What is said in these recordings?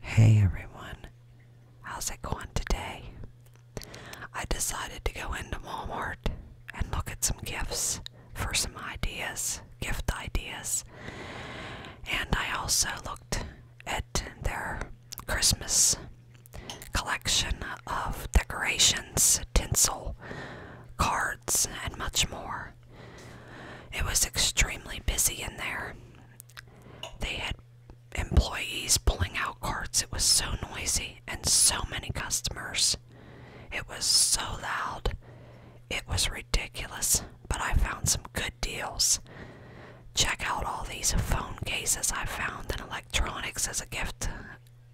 Hey everyone, how's it going today? I decided to go into Walmart and look at some gifts for some ideas, gift ideas. And I also looked at their Christmas collection of decorations, tinsel, cards, and much more. It was extremely busy in there. They had employees pulling out carts. It was so noisy and so many customers. It was so loud. It was ridiculous, but I found some good deals. Check out all these phone cases I found in electronics as a gift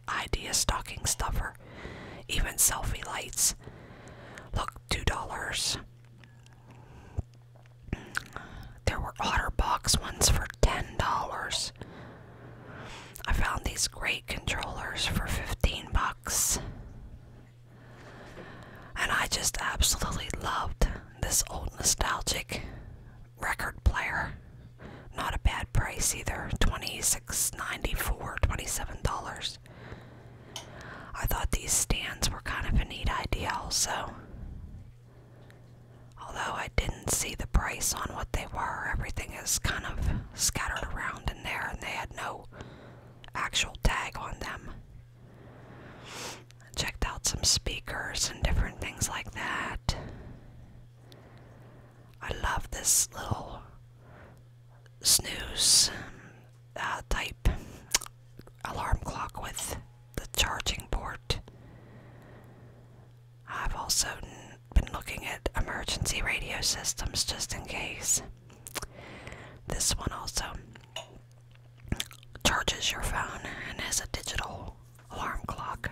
idea stocking stuffer, even selfie lights. Look, two dollars. There were OtterBox ones for ten dollars. I found these great controllers for fifteen bucks. And I just absolutely loved this old nostalgic record player. Not a bad price either. $26.94, $27. I thought these stands were kind of a neat idea also. Although I didn't see the price on what they were, everything is kind of scattered around in there and they had no actual tag on them. I checked out some speakers and different things like that. I love this little snooze uh, type alarm clock with the charging port. I've also been looking at emergency radio systems just in case. This one also charges your phone and has a digital alarm clock.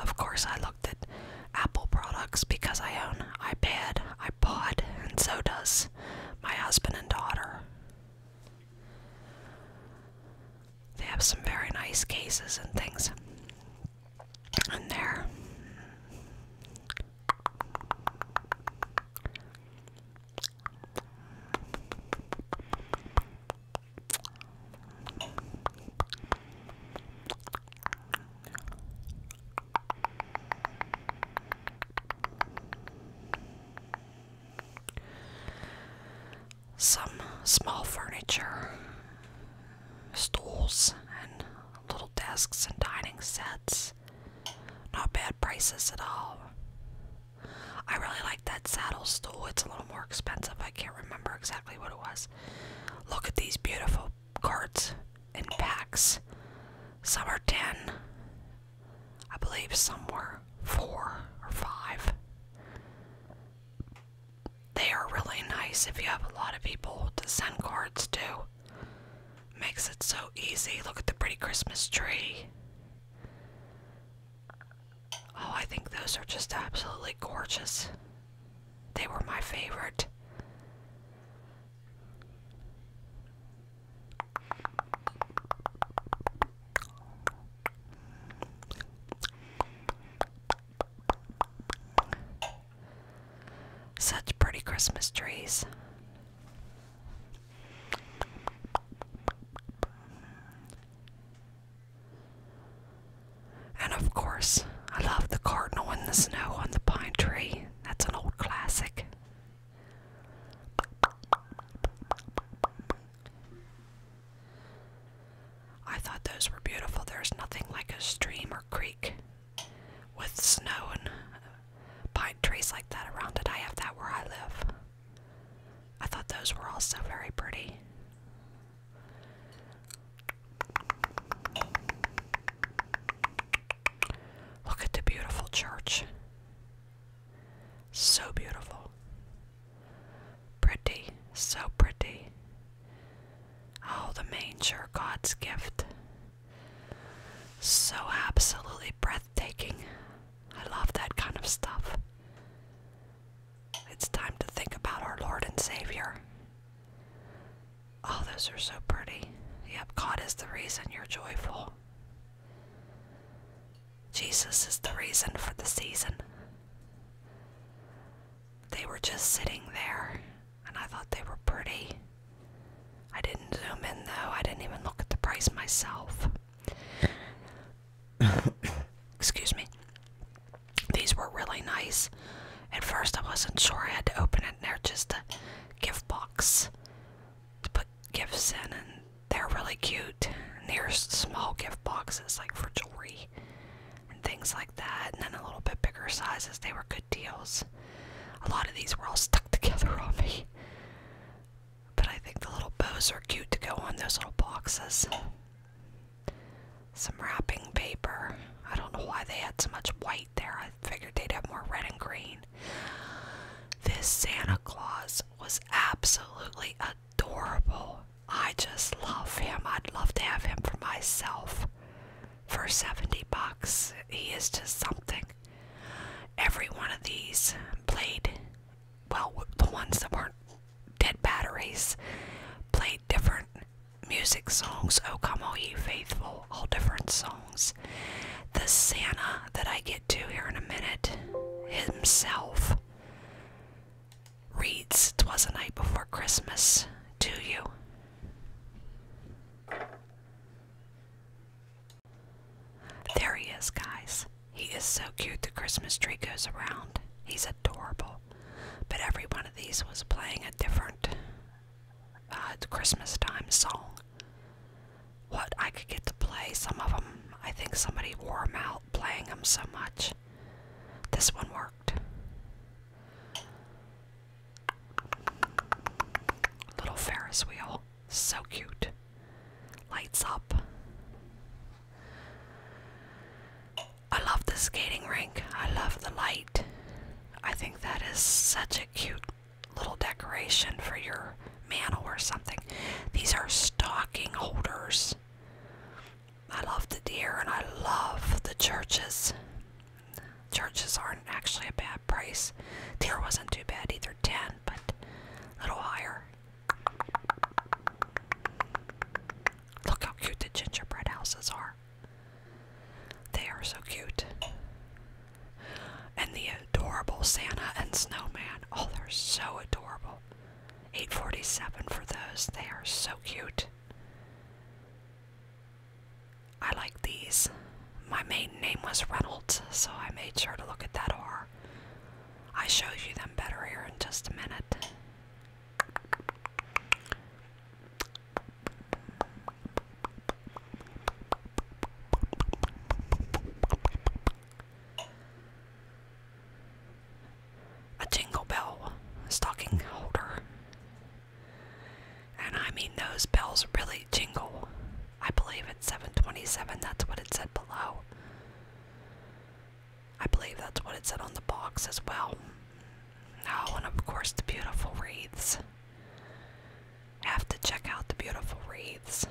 Of course, I looked at Apple products because I own iPad, iPod, and so does my husband and daughter. They have some very nice cases and things in there. Some small furniture, stools, and little desks and dining sets. Not bad prices at all. I really like that saddle stool. It's a little more expensive. I can't remember exactly what it was. Look at these beautiful cards and packs. Some are 10, I believe some were 4 or 5. They are really nice if you have a lot of people to send cards to. Makes it so easy. Look at the pretty Christmas tree. Oh, I think those are just absolutely gorgeous. They were my favorite. Such pretty Christmas trees. And of course, I love the cardinal in the snow on the pine tree. That's an old classic. I thought those were beautiful. There's nothing like a stream or creek with snow and pine trees like that around it. I have that where I live. I thought those were all so very pretty. Look at the beautiful church. So beautiful. Pretty, so pretty. Oh, the manger, God's gift. So absolutely breathtaking. I love that kind of stuff. It's time to think about our Lord and Savior. All oh, those are so pretty. Yep, God is the reason you're joyful. Jesus is the reason for the season. They were just sitting there, and I thought they were pretty. I didn't zoom in though, I didn't even look at the price myself. Excuse me. These were really nice. At first, I wasn't sure I had to open it. they're just a gift box to put gifts in, and they're really cute. And are small gift boxes like for jewelry and things like that, and then a little bit bigger sizes. They were good deals. A lot of these were all stuck together on me. But I think the little bows are cute to go on those little boxes. Some wrapping paper. I don't know why they had so much white there. I figured they'd have more red and green. This Santa Claus was absolutely adorable. I just love him. I'd love to have him for myself. For 70 bucks, he is just something. Every one of these played well, the ones that weren't dead batteries, played different music songs. Oh, come all ye faithful, all different songs. The Santa that I get to here in a minute himself reads Twas a Night Before Christmas to you. There he is, guys. He is so cute, the Christmas tree goes around. He's adorable. But every one of these was playing a different uh, Christmas time song. What I could get to play, some of them, I think somebody wore them out playing them so much. This one worked. Little Ferris wheel. So cute. Lights up. I love the skating rink. I love the light. I think that is such a cute little decoration for your mantle or something. These are stocking holders. I love the deer and I love the churches. Churches aren't actually a bad price. Deer wasn't too bad either, 10, but a little higher. Look how cute the gingerbread houses are. They are so cute. And the adorable Santa and Snowman. Oh, they're so adorable. 847 for those. They are so cute. I like these. My maiden name was Reynolds, so I made sure to look at that R. I show you them better here in just a minute. A jingle bell stocking holder. And I mean, those bells really jingle. I believe it's 727. That's what it said below. I believe that's what it said on the box as well. Oh, and of course, the beautiful wreaths. have to check out the beautiful wreaths.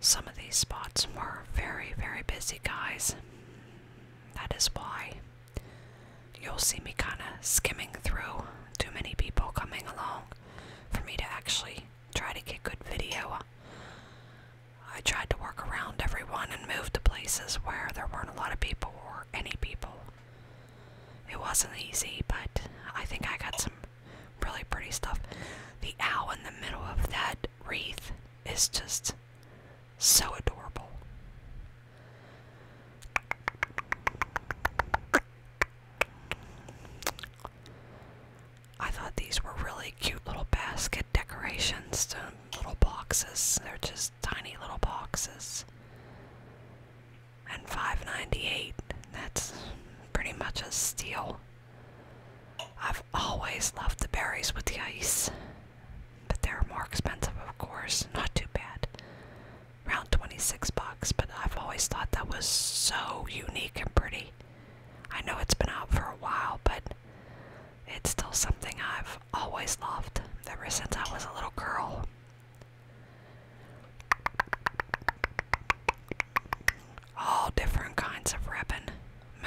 Some of these spots were very, very busy, guys. That is why you'll see me kinda skimming through too many people coming along for me to actually try to get good video. I tried to work around everyone and move to places where there weren't a lot of people or any people. It wasn't easy, but I think I got some really pretty stuff. The owl in the middle of that wreath is just so adorable. I thought these were really cute little basket decorations little boxes. They're just tiny little boxes. And 5.98, that's pretty much a steal. I've always loved the berries with the ice, but they're more expensive, of course. Not too bad. Around 26 bucks, but I've always thought that was so unique and pretty. I know it's been out for a while, but it's still something I've always loved ever since I was a little girl all different kinds of ribbon,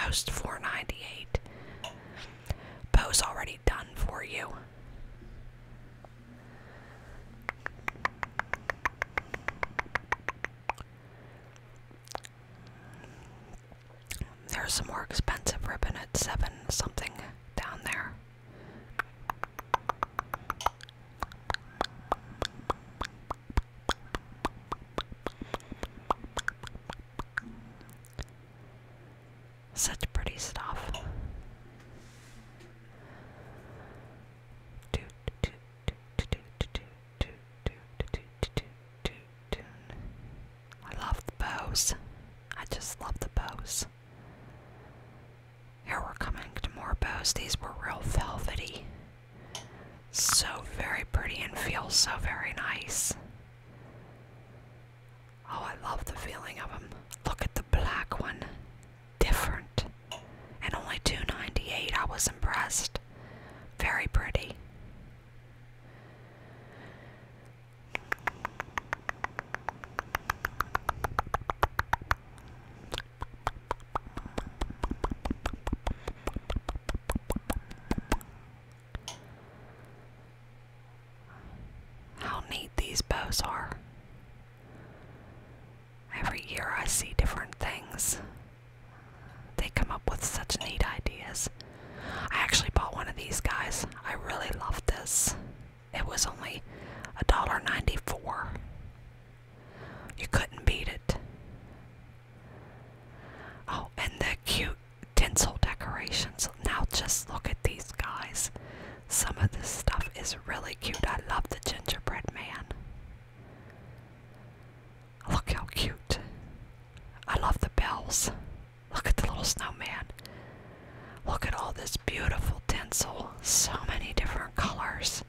most 498. Bo's already done for you. There's some more expensive ribbon at seven something down there. Such pretty stuff. I love the bows. I just love the bows. Here we're coming to more bows. These were real velvety. So very pretty and feels so very nice. Oh, I love the feeling of them. Look at the black one. Different. And only 298. I was impressed. Very pretty. How neat these bows are. Every year I see different things. They come up with such neat ideas. I actually bought one of these guys. I really love this. It was only $1.94. You couldn't beat it. Oh, and the cute tinsel decorations. Now just look at these guys. Some of this stuff is really cute. I love the gingerbread man. Look how cute. I love the bells. Look at the little snowman. Look at all this beautiful tinsel. So many different colors.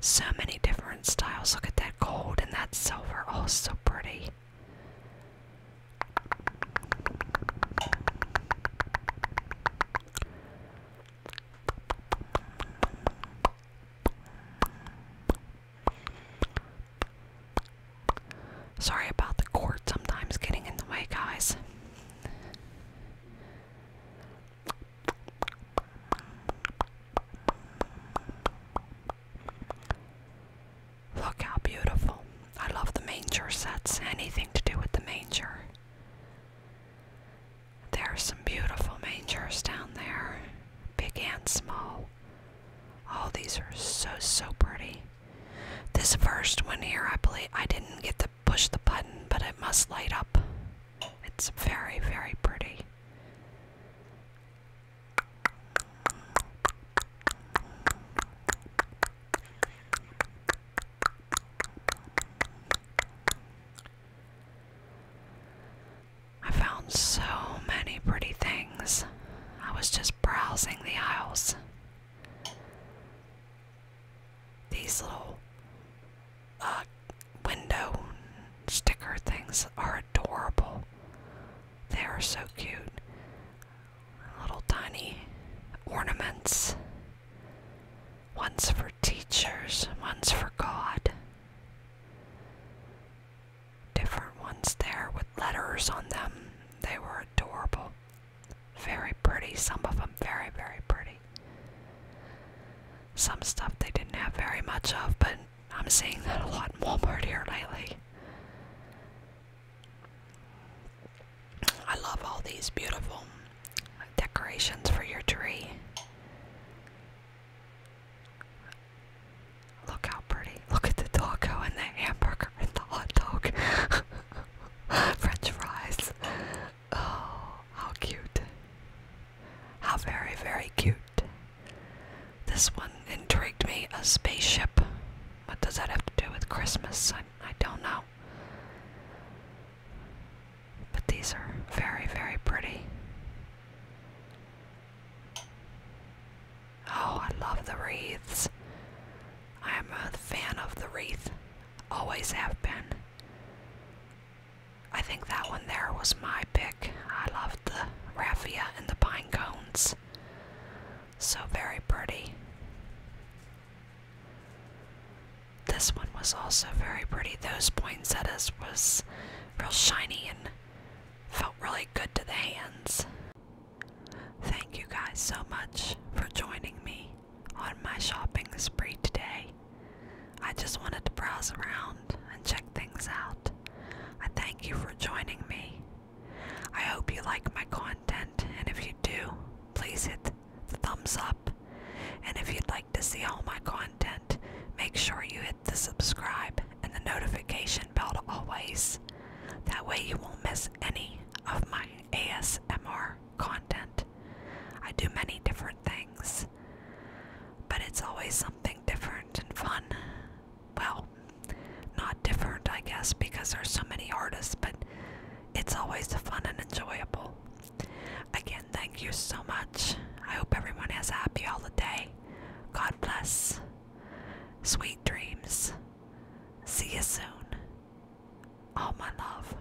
So many different styles. Look at that gold and that silver. Oh, so pretty. Sorry about the cord sometimes getting in the way, guys. Look how beautiful. I love the manger sets, anything to do with the manger. There are some beautiful mangers down there, big and small. Oh, these are so, so pretty. This first one here, I believe I didn't get to push the button, but it must light up. It's very, very pretty. I found so many pretty things. I was just browsing the aisles. These little uh, window sticker things are adorable. They are so cute. Little tiny ornaments. One's for teachers, one's for God. Different ones there with letters on them. They were adorable. Very pretty. Some of them very, very pretty. Some stuff they didn't have very much of, but I'm seeing that a lot in Walmart here lately. I love all these beautiful decorations for your tree. Look how pretty. Look at the taco and the hamburger and the hot dog. French fries. Oh, how cute. How very, very cute. This one intrigued me a spaceship. What does that have to do with Christmas? I, I don't know. But these are very, very pretty. Oh, I love the wreaths. I am a fan of the wreath. Always have been. I think that one there was my pick. I loved the raffia and the pine cones. So very pretty. This one was also very pretty. Those poinsettias was real shiny and felt really good to the hands. Thank you guys so much for joining me on my shopping spree today. I just wanted to browse around and check things out. I thank you for joining me. I hope you like my content, and if you do, please hit the thumbs up. And if you'd like to see all my content, make sure you hit the subscribe and the notification bell always. That way, you won't miss any of my ASMR content. I do many different things, but it's always something different and fun. Well, not different, I guess, because there's so many artists, but it's always fun and enjoyable. Again, thank you so much. I hope everyone has a happy holiday. God bless. Sweet dreams. See you soon. All my love.